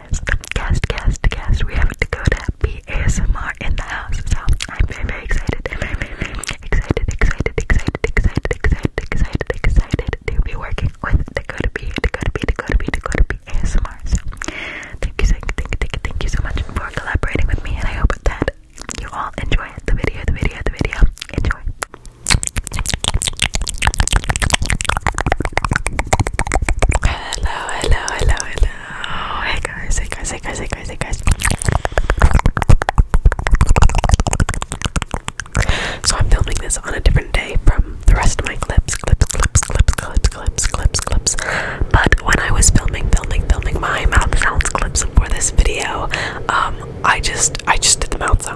guest, guest, guest, guest. We have to go to ASMR in the house. So I'm very, very excited. i excited, excited, excited, excited, excited, excited, excited to be working with Dakota B, Dakota B, Dakota B, Dakota B ASMR. So thank you, thank thank you, thank you so much for collaborating with me, and I hope that you all enjoy the video, the video, the video. Enjoy hello, hello, hello. Hey guys, hey guys, hey guys, hey guys, hey guys. So I'm filming this on a different day from the rest of my clips, clips, clips, clips, clips, clips, clips, clips. But when I was filming, filming, filming my mouth sounds clips for this video, um, I just, I just did the mouth sounds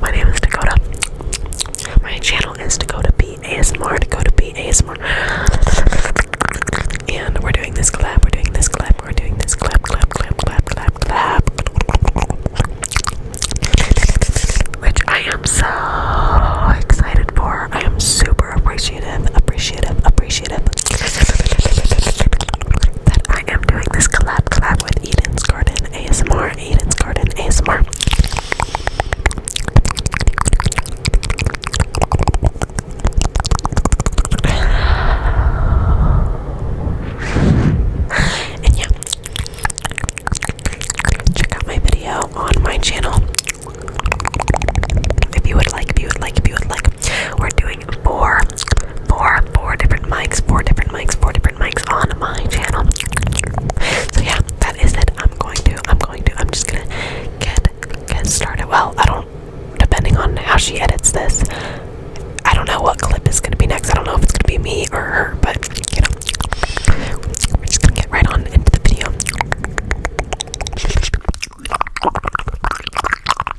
My name is Dakota. My channel is Dakota B Dakota B And we're doing this clap. We're doing this clap. We're doing this clap. Clap. Clap. Clap. Clap. Clap. Which I am so excited for. I am super appreciative. Appreciative. Appreciative. That I am doing this collab collab with Eden's Garden ASMR, Eden's Garden ASMR. and yeah, check out my video on my channel if you would like, if you would like, if you would like. We're doing doing four, four, four different mics, four different mics, four different mics on my channel. So yeah, that is it. I'm going to, I'm going to, I'm just gonna get get started. Well, I don't depending on how she edits this, I don't know what clip is gonna be next. I don't know if it's gonna be me or her, but you know we're just gonna get right on into the video.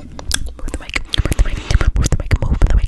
Move the mic, move the mic, move the mic, move the mic.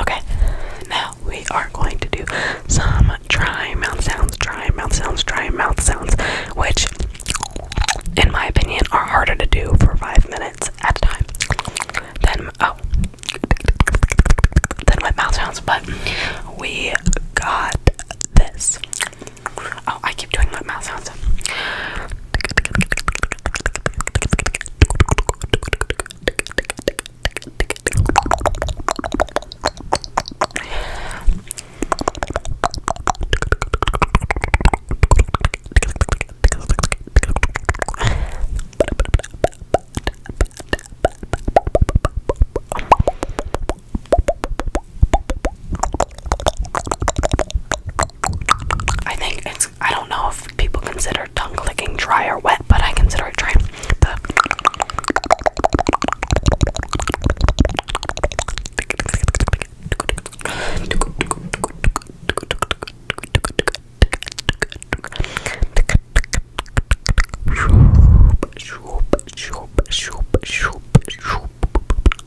Okay, now we are going to do some dry mouth sounds, dry mouth sounds, dry mouth sounds, which, in my opinion, are harder to do for five minutes at a time than oh, than with mouth sounds. But we got this. Oh, I keep doing my mouth sounds. I think it's I don't know if people consider tongue clicking dry or wet, but I consider it dry.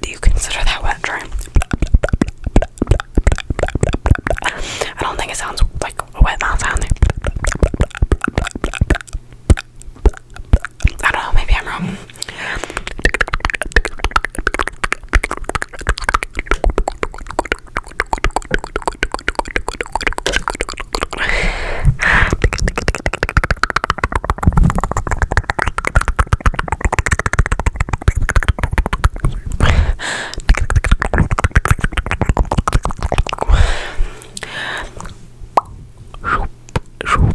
Do you consider that wet dream? I don't think it sounds like a wet mouth sound. I don't know, maybe I'm wrong.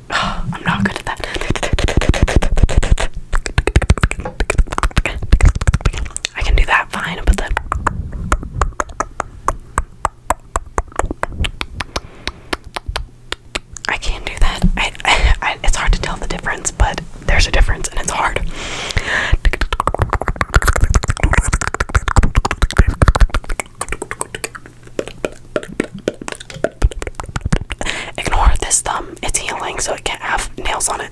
no, oh, I'm not good at that. I can do that fine, but then I can't do that. I, I, I, it's hard to tell the difference, but there's a difference, and it's hard. Ignore this thumb, it's healing, so it can't have nails on it.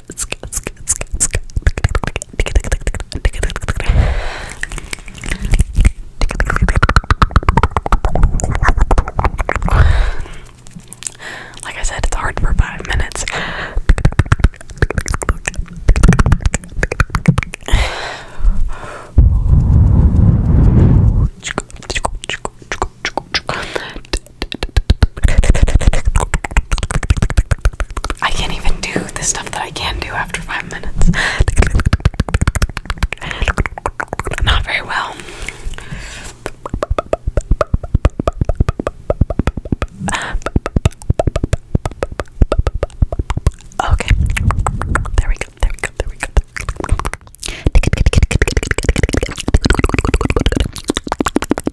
Like I said, it's hard for five minutes. I can't even do the stuff that I can do after five minutes. Not very well. Okay. There we go. There we go. There we go.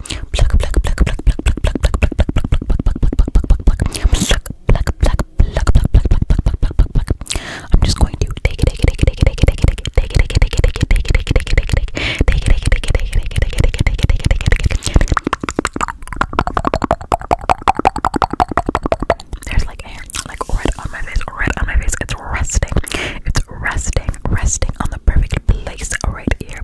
pluck, pluck, pluck, pluck, pluck, pluck, pluck, pluck, pluck, pluck, I'm just going to take it, take it, take it, take it, take it, take it, take it, take it, take it, take it, take it, take it, take it, take it, take it, take it, There's like hair, like red on my face, red on my face. It's resting, it's resting, resting on the perfect place right here.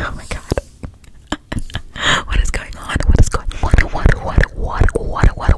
Oh my god. What is going on? What is going on? What what what what what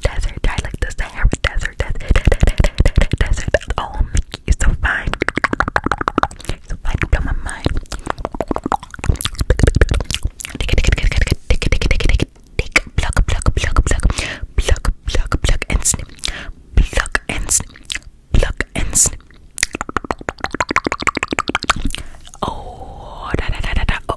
Desert. I like the Sahara Desert. Desert. Desert. Oh, Mickey, you're so fine. so fine. You my mind. Take it, take it, take it, take it, take it, take it, take it. Take pluck, pluck, pluck, pluck, pluck, pluck, pluck, and snip. Pluck and snip. Pluck and snip. Oh, da da da da da.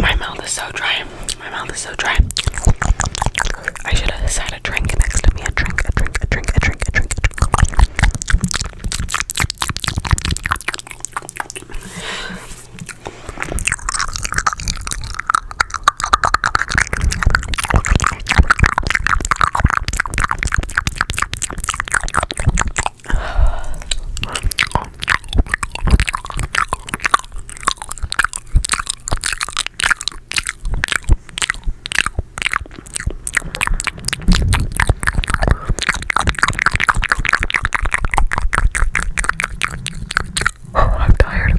My mouth is so dry. My mouth is so dry. I should have sat a drink next to me. a drink, a drink, a drink, a drink, a drink. Oh, I'm tired.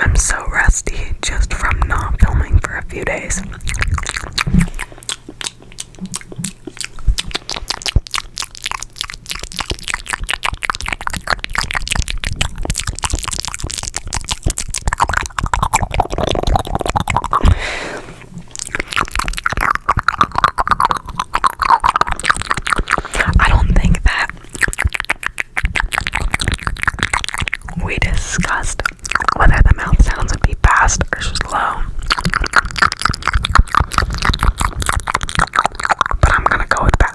I'm so rusty just from not filming for a few days. I don't think that we discussed whether the mouth sounds would be fast or slow. But I'm gonna go with fast.